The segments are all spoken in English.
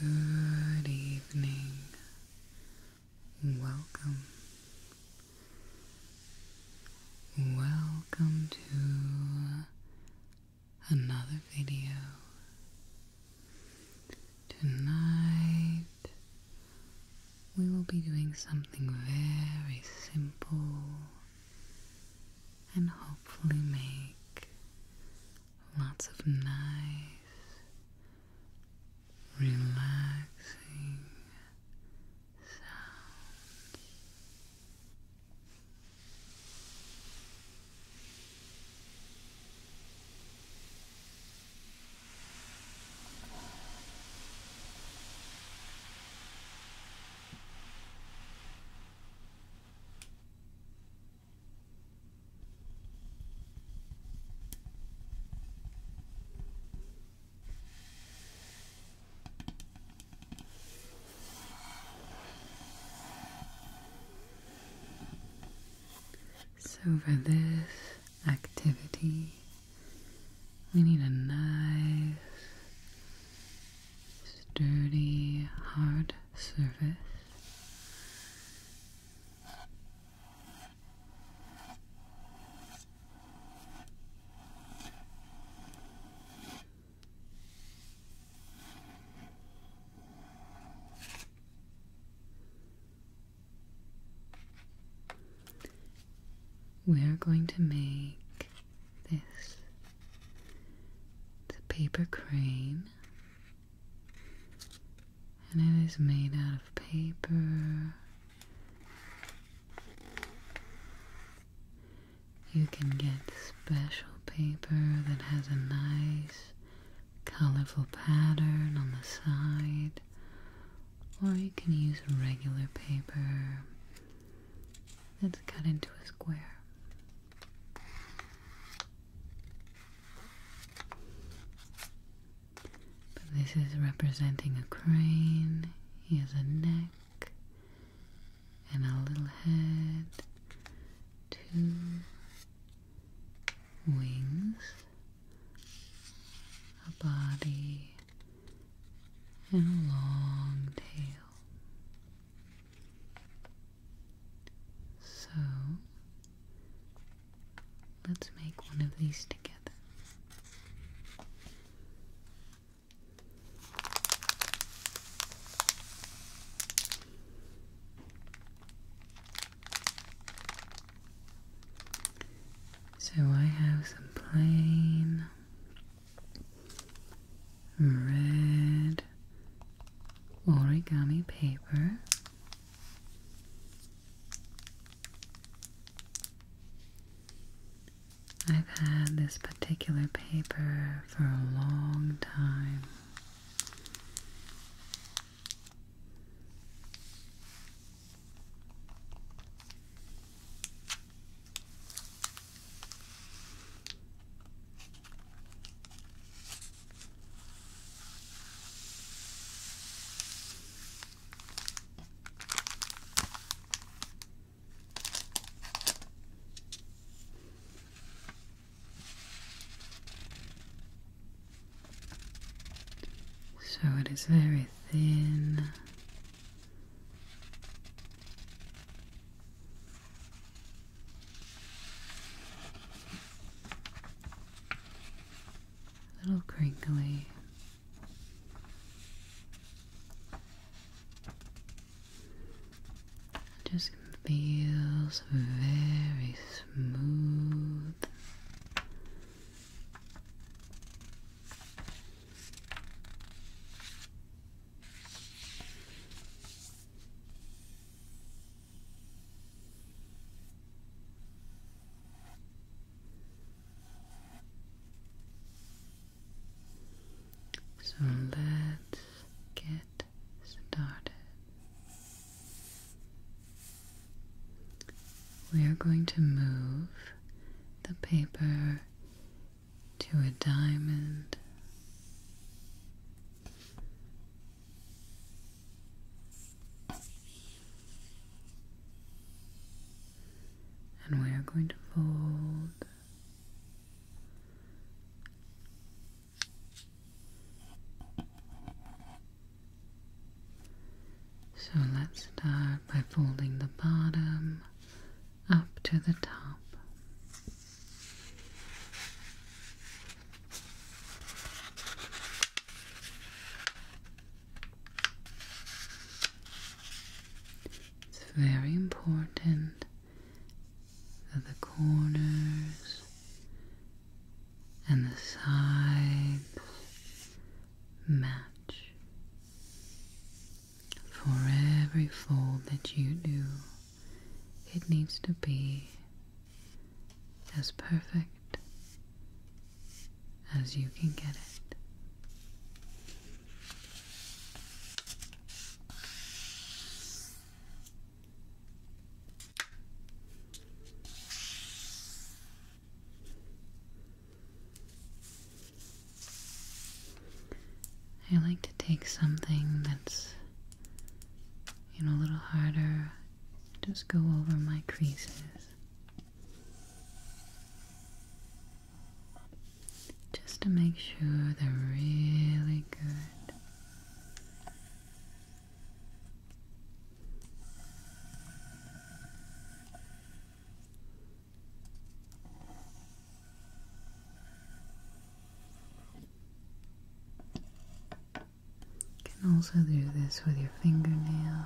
Good evening. Welcome. Welcome to another video. Tonight we will be doing something very simple and hopefully make lots of nice, relaxing sounds. So, for this activity, we need a knife sturdy, hard surface. We are going to make this. It's a paper crane. And it is made out of paper. You can get special paper that has a nice colorful pattern on the side, or you can use regular paper that's cut into a square this is representing a crane. He has a neck and a little head, two wings, a body, and a long tail. So let's make one of these together. So I have some plain red origami paper. I've had this particular paper for a long time. So it is very thin a little crinkly. It just feels very smooth. So let's get started. We are going to move the paper to a diamond. And we are going to fold so let's start by folding the bottom up to the top. It's very important that the corners and the sides match for every fold that you do, it needs to be as perfect as you can get it. I like to take something that's, you know, a little harder, just go over my creases. Just to make sure they're really good. You can also do this with your fingernail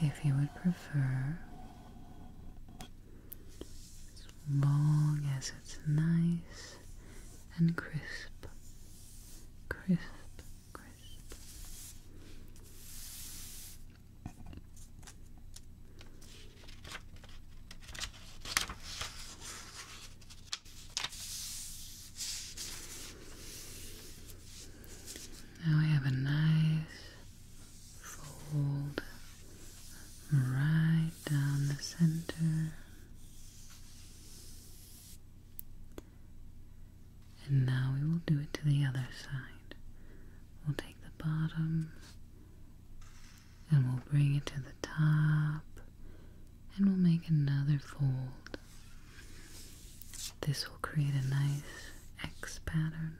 if you would prefer, as long as it's nice and crisp, crisp, crisp. Now we have a nice fold right down the center. And now we will do it to the other side. We'll take the bottom and we'll bring it to the top and we'll make another fold. This will create a nice X pattern.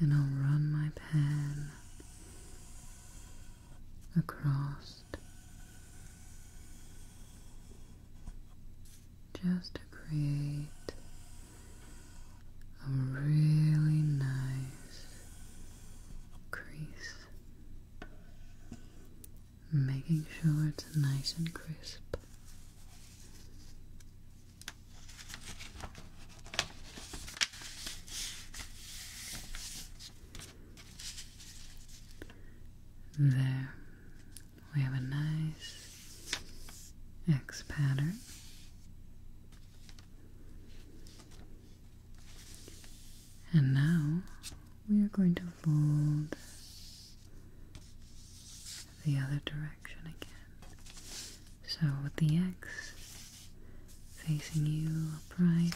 And I'll run my pen across just to create a really nice crease, making sure it's nice and crisp. There, we have a nice X pattern. And now we are going to fold the other direction again. So with the X facing you upright,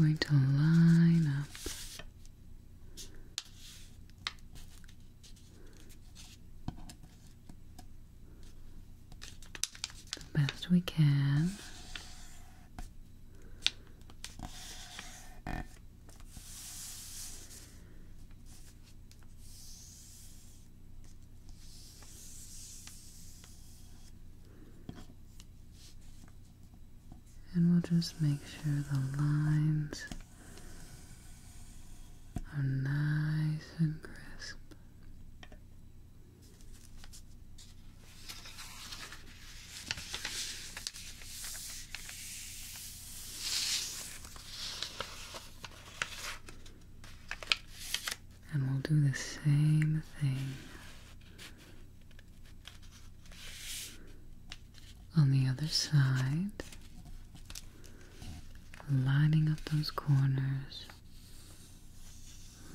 we're going to line up the best we can. And we'll just make sure the lines are nice and crisp. And we'll do the same thing on the other side, lining up those corners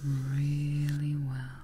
really well.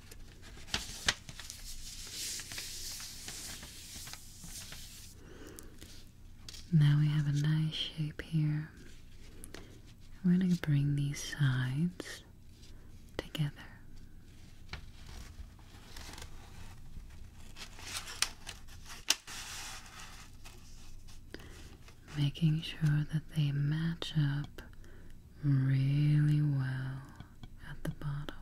Now we have a nice shape here. We're going to bring these sides together. Making sure that they match up really well at the bottom.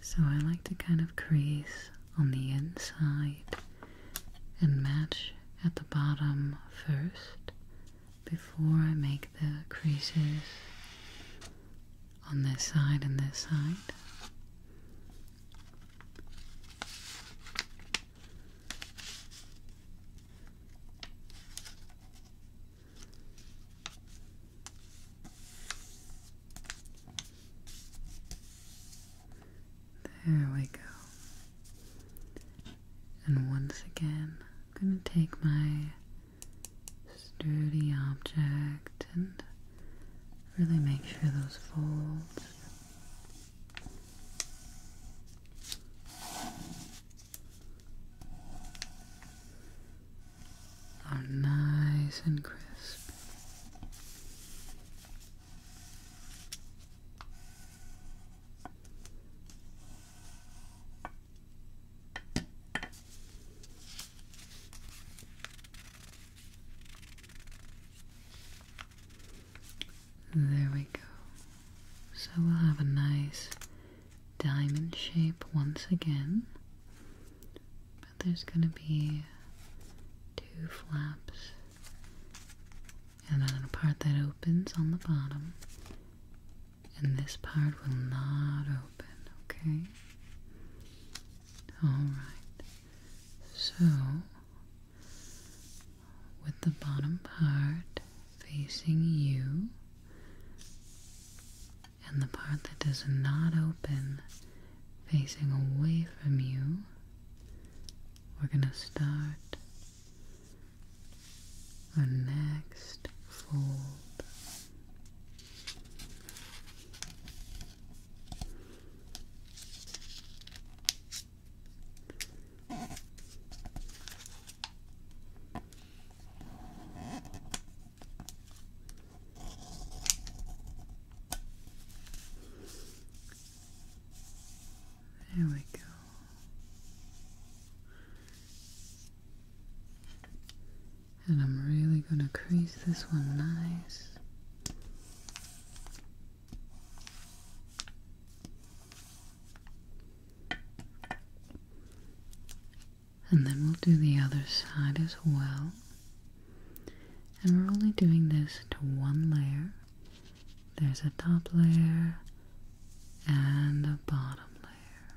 So I like to kind of crease on the inside and match at the bottom first before I make the creases on this side and this side. There we go. And once again, I'm going to take my sturdy object and really make sure those folds are nice and crisp. There we go. So we'll have a nice diamond shape once again, but there's going to be two flaps and then a part that opens on the bottom, and this part will not open, okay? Alright, so with the bottom part facing you and the part that does not open facing away from you. We're going to start our next fold. There we go. And I'm really going to crease this one nice and then we'll do the other side as well. And we're only doing this to one layer. There's a top layer and a bottom layer.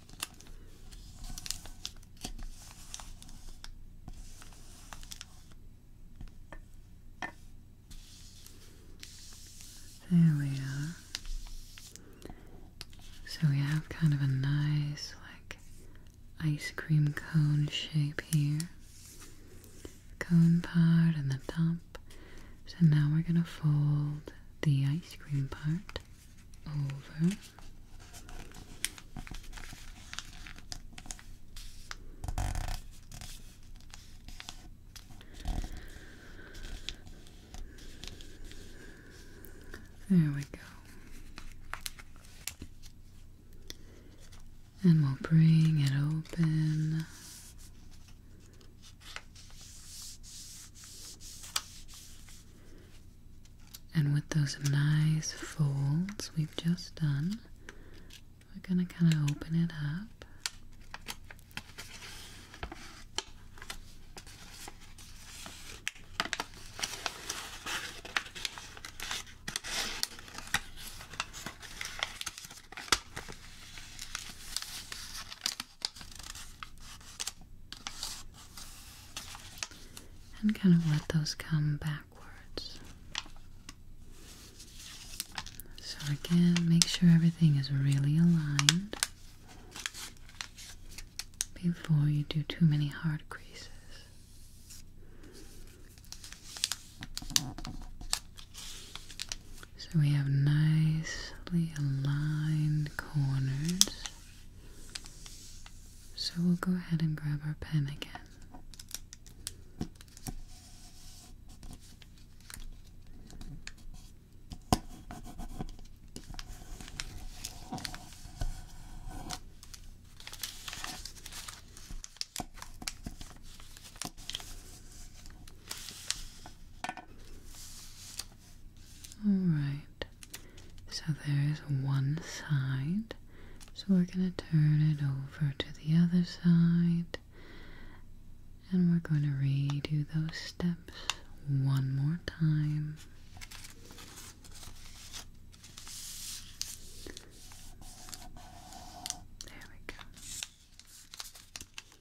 There we are. So we have kind of a nice, like, ice cream cone shape here. Cone part and the top. So now we're going to fold the ice cream part there we go. And we'll bring it open. And with those nice folds we've just done, we're going to kind of open it up and kind of let those come backwards. So, again, make sure everything is really aligned before you do too many hard creases. So we have nicely aligned corners. So we'll go ahead and grab our pen again. Alright, so there's one side. So we're going to turn it over to the other side. And we're going to redo those steps one more time. There we go.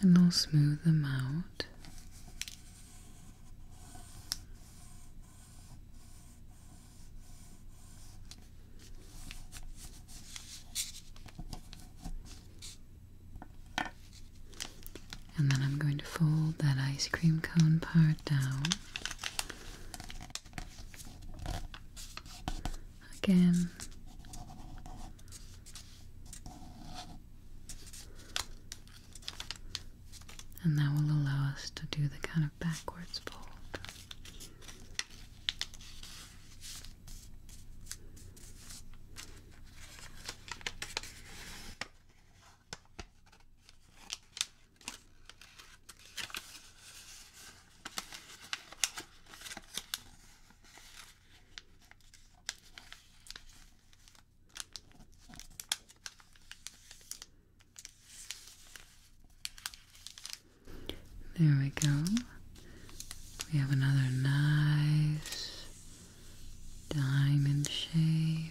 and I'll smooth them out. And then I'm going to fold that ice cream cone part down again. And that will allow us to do the kind of backwards fold. There we go. We have another nice diamond shape.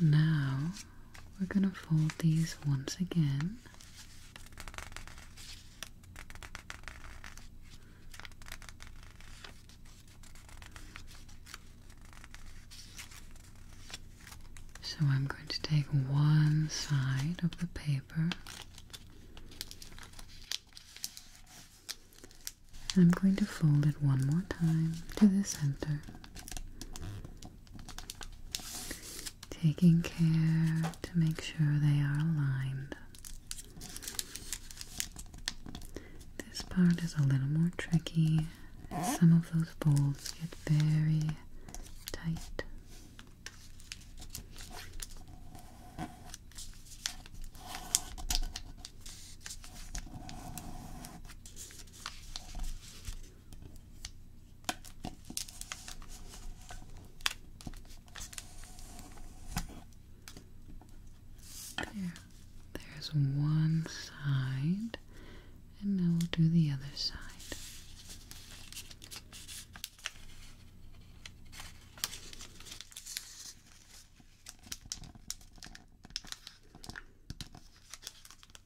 Now we're going to fold these once again. So I'm going to take one side of the paper. I'm going to fold it one more time to the center. Taking care to make sure they are aligned. This part is a little more tricky. Some of those folds get very tight. There. There's one side, and now we'll do the other side.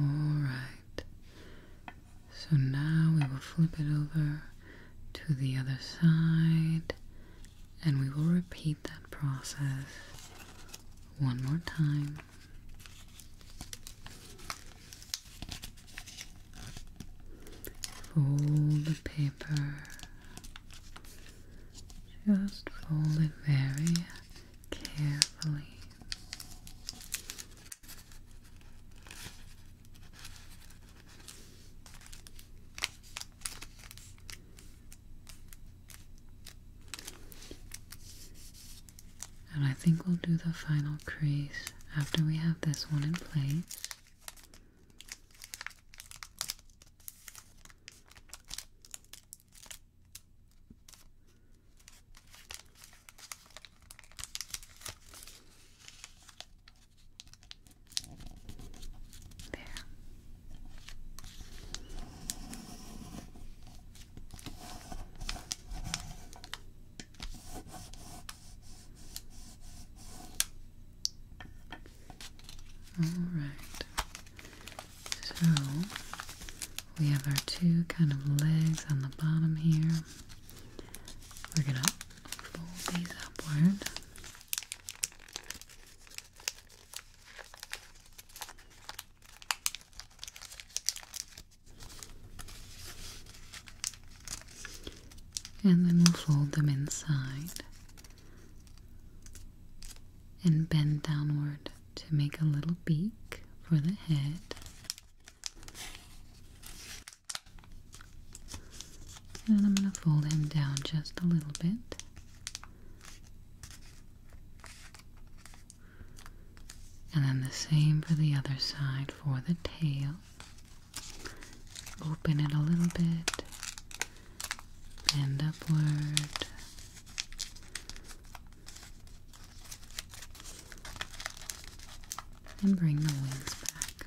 All right. So now we will flip it over to the other side and we will repeat that process one more time. Fold the paper. Just fold it very carefully. And I think we'll do the final crease after we have this one in place. All right. So we have our two kind of legs on the bottom here. We're going to fold these upward. And then we'll fold them inside and bend downward to make a little beak for the head. And I'm going to fold him down just a little bit and then the same for the other side for the tail. Open it a little bit, bend upward. And bring the wings back.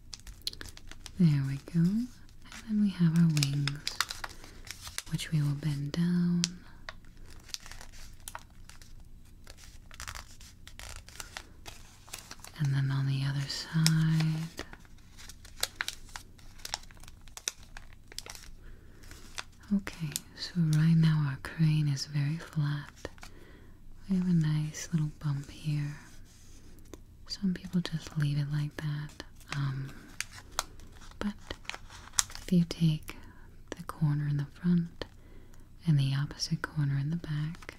There we go. And then we have our wings, which we will bend down. And then on the other side. Okay, so right now our crane is very flat. We have a nice little bump here. Some people just leave it like that. Um, but if you take the corner in the front and the opposite corner in the back,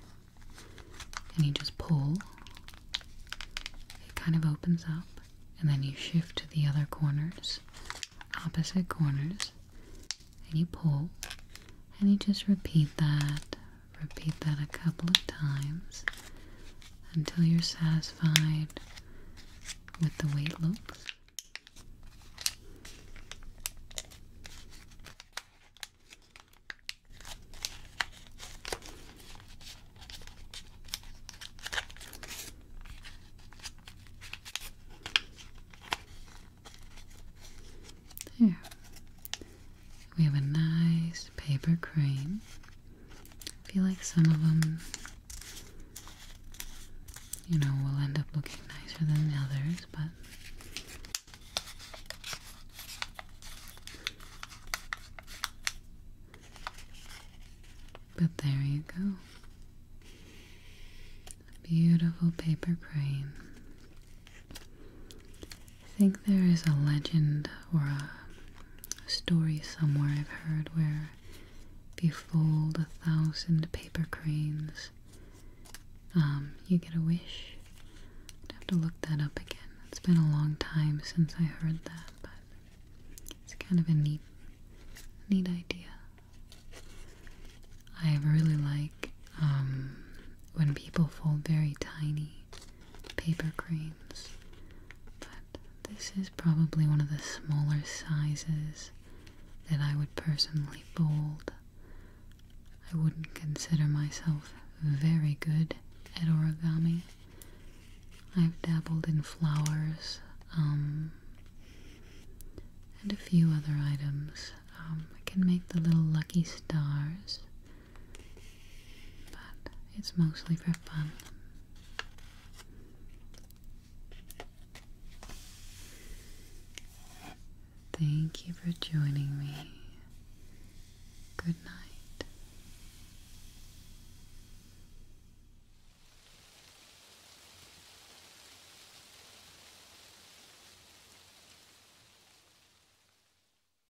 and you just pull, it kind of opens up, and then you shift to the other corners, opposite corners, and you pull, and you just repeat that Repeat that a couple of times until you're satisfied with the way it looks. There. We have a nice paper crane I feel like some of them, you know, will end up looking nicer than the others, but. But there you go. beautiful paper crane. I think there is a legend or a story somewhere I've heard where if you fold a thousand paper cranes, um, you get a wish. I'd have to look that up again. It's been a long time since I heard that, but it's kind of a neat, neat idea. I really like um, when people fold very tiny paper cranes, but this is probably one of the smaller sizes that I would personally fold. I wouldn't consider myself very good at origami. I've dabbled in flowers, um, and a few other items. Um, I can make the little lucky stars but it's mostly for fun. Thank you for joining me. Good night.